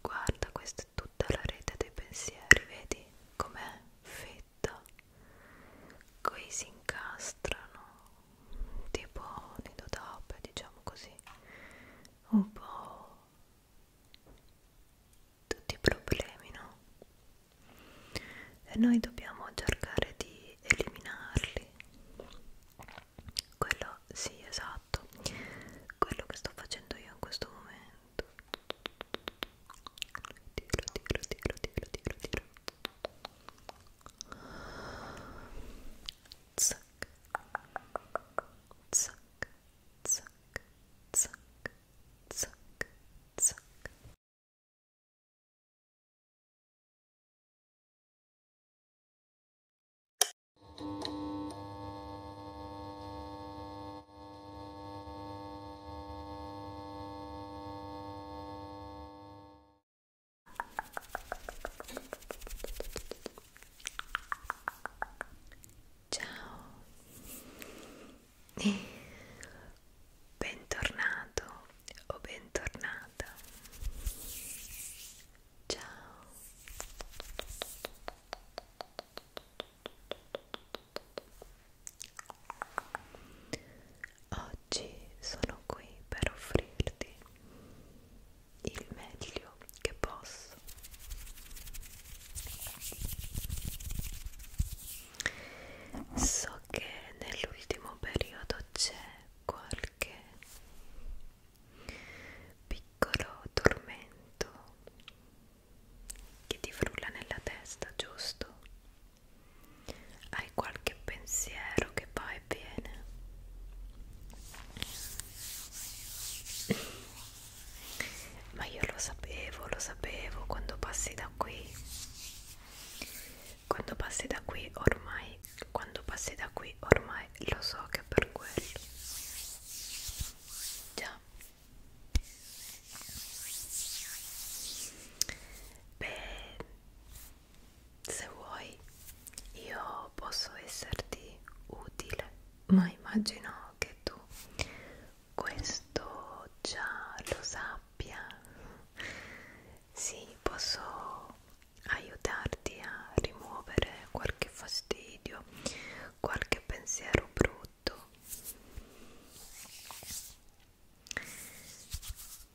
Guarda, questa è tutta la rete dei pensieri, vedi com'è fitta? Qui si incastrano tipo nidodape, diciamo così, un po' tutti i problemi, no? E noi dobbiamo cercare di eliminarli quello sì esatto quello che sto facendo io in questo momento tiro tiro tiro tiro tiro tiro zac zac zac zac zac zac Ciao eh, bentornato o bentornata Ciao. Oggi sono qui per offrirti il meglio che posso. So che nell'ultimo periodo c'è qualche piccolo tormento che ti frulla nella testa, giusto? Hai qualche pensiero che va e viene? Ma io lo sapevo, lo sapevo quando passi da qui quando passi da qui ormai quando passi da qui ormai lo so che è per quello già beh se vuoi io posso esserti utile ma immagino che tu questo già lo sappia sì posso aiutarti a rimuovere qualche fastidio, qualche pensiero brutto.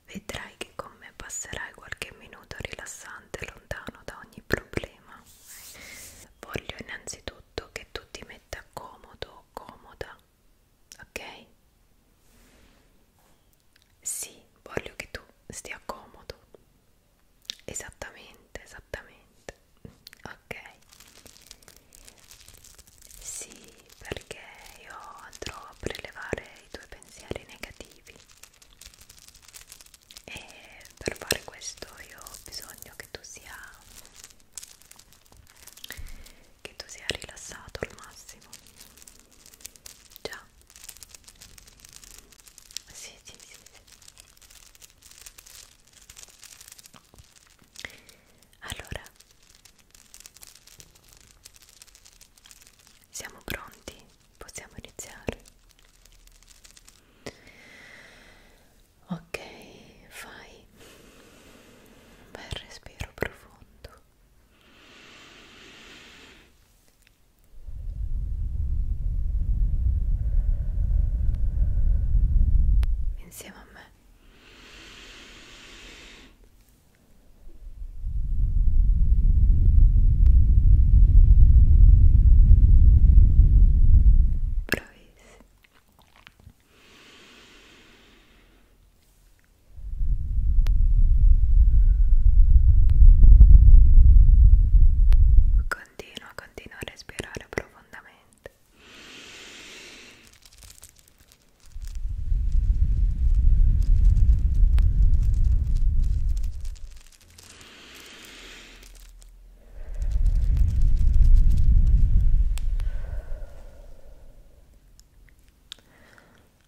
Vedrai che con me passerai qualche minuto rilassante lontano da ogni problema. Voglio innanzitutto che tu ti metta comodo o comoda, ok? Sì, voglio che tu stia comodo. Esattamente, esattamente. Ok. Sì, perché io andrò a prelevare i tuoi pensieri negativi. E per fare questo io ho bisogno che tu sia che tu sia rilassato al massimo Già. Sì, sì, sì, sì. Allora. Siamo pronti? Possiamo iniziare? Ok, fai un bel respiro profondo insieme a me bravissimo Continua, continua a respirare profondamente.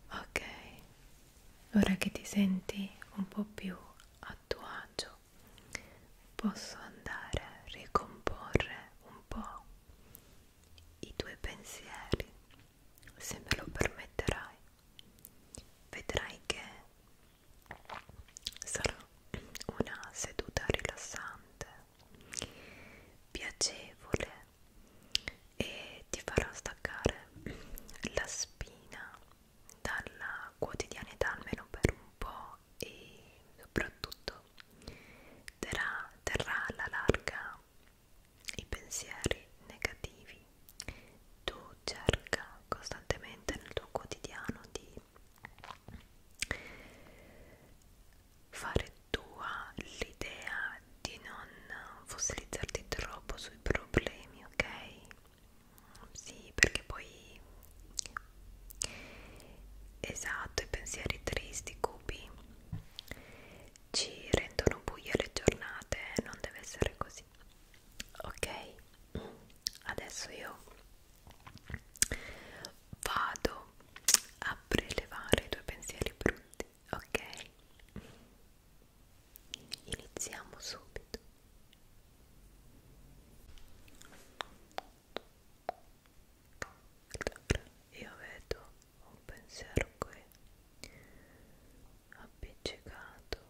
Ok, ora che ti senti un po' più a tuo agio posso andare a ricomporre un po' i tuoi pensieri se me lo permetterai vedrai che sarà una seduta rilassante piacevole e ti farà staccare la spina dalla quotidianità almeno per un po' e soprattutto terrà, terrà alla larga i pensieri negativi. Tu cerca costantemente nel tuo quotidiano di fare tua l'idea di non fossilizzarti troppo sui problemi, ok? sì perché poi esatto i pensieri tristi cupi ci rendono buie le giornate non deve essere così ok adesso io vado a prelevare i tuoi pensieri brutti ok Iniziamo subito. Io vedo un pensiero qui appiccicato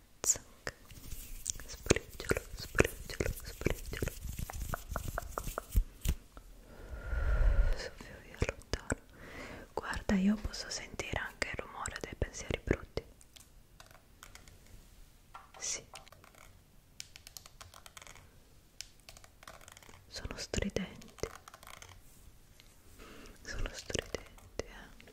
Zac. Spriggiolo, spriggiolo, spriggiolo. Soffio via lontano. Guarda, io posso sentire anche il rumore dei pensieri brutti. Sì. Sono stridenti. Sono stridenti, eh.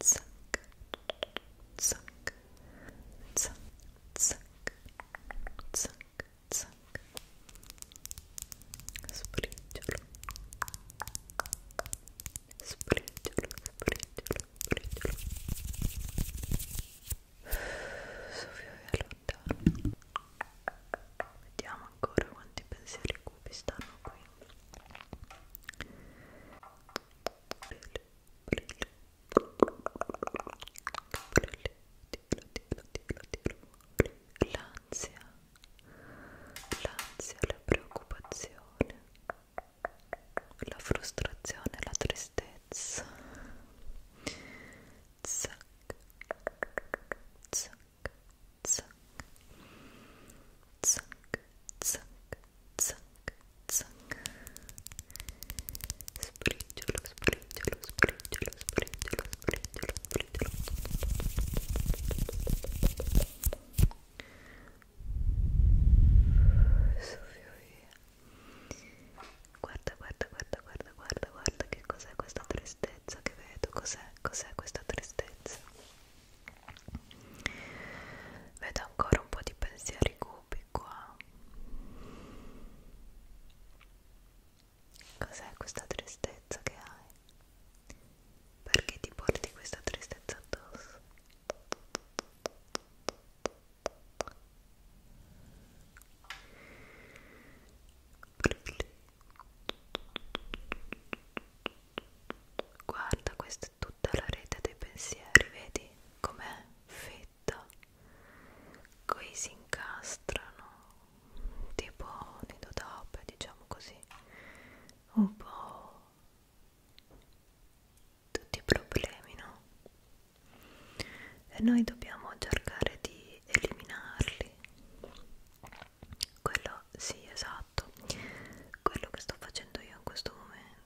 Suck, suck, suck, suck, suck, suck. Spriggiolo, spriggiolo, spriggiolo, spriggiolo. Soffio lontano. Vediamo ancora quanti pensieri cupi stanno qui. Bellissimo. l'ansia, l'ansia, la preoccupazione, la frustrazione, la tristezza. Zac, zac, zac, zac, zac, zac, zac spriggiolo, spriggiolo, spriggiolo, spriggiolo, spriggiolo, spriggiolo soffio via guarda, guarda, guarda, guarda, guarda, guarda che cos'è questa tristezza che vedo, cos'è, cos'è questa tristezza vedo ancora un po' di pensieri cupi qua cos'è questa tristezza che hai? perché ti porti questa tristezza addosso? Guarda, questo tutta la rete dei pensieri, vedi com'è fitta? Qui si incastrano tipo nidodope, diciamo così, un po' tutti i problemi, no? E noi dobbiamo cercare di eliminarli. Quello sì, esatto. Quello che sto facendo io in questo momento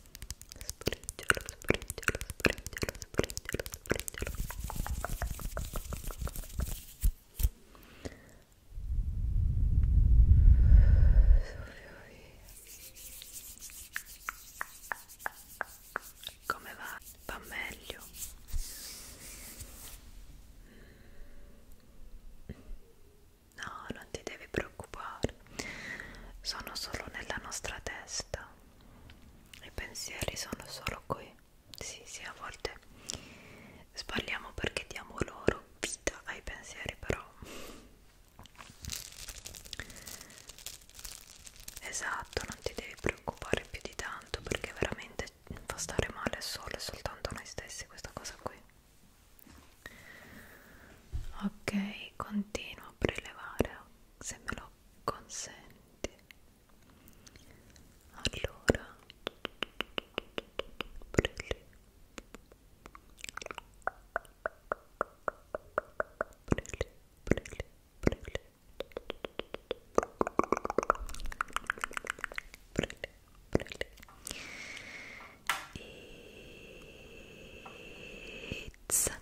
Spriggiolo, spriggiolo, spriggiolo, spriggiolo, spriggiolo. Come va? Va meglio. No, non ti devi preoccupare. Sono solo nella nostra testa i pensieri sono solo qui sì sì a volte sbagliamo perché diamo loro vita ai pensieri però esatto non ti devi preoccupare più di tanto perché veramente fa stare male solo e soltanto noi stessi questa cosa qui ok continuo a prelevare se me lo consenti allora brilli brilli brilli brilli brilli brilli e zac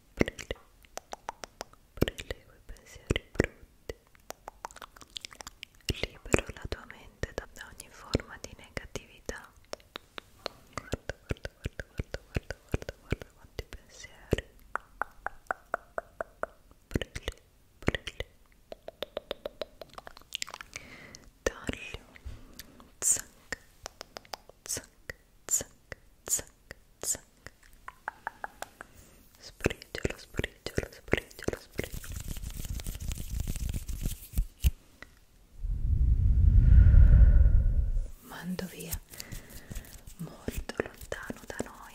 prelevo, prelevo i pensieri brutti, libero la tua mente da ogni forma di negatività. Guarda, guarda, guarda, guarda, guarda, guarda, guarda quanti pensieri. Prelevo, prelevo. Taglio, zac, zac, zac, zac, zac. Sprigiolo, sprigiolo, sprigiolo, sprigiolo. Mando via molto lontano da noi.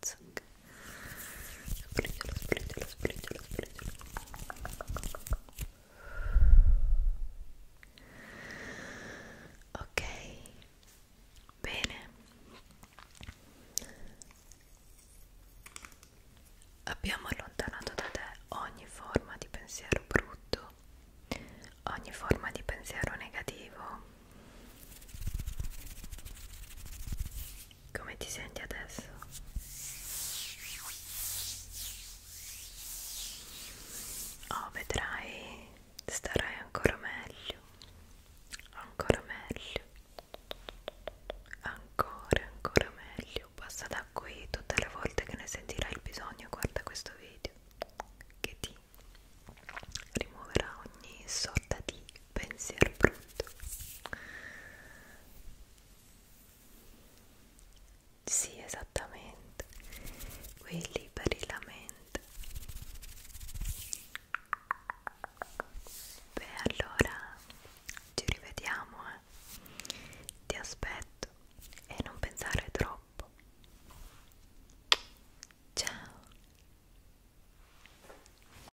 zac sprigiolo, sprigiolo, sprigiolo, sprigiolo ok bene abbiamo allontanato da te ogni forma di pensiero brutto ogni forma di pensiero negativo come ti senti adesso? Oh, vedrai, starai ancora meglio, ancora meglio, ancora, ancora meglio. Passa da qui tutte le volte che ne sentirai il bisogno, guarda questo video che ti rimuoverà ogni sorta di pensiero brutto sì esattamente qui liberi la mente beh allora ci rivediamo eh. ti aspetto e non pensare troppo ciao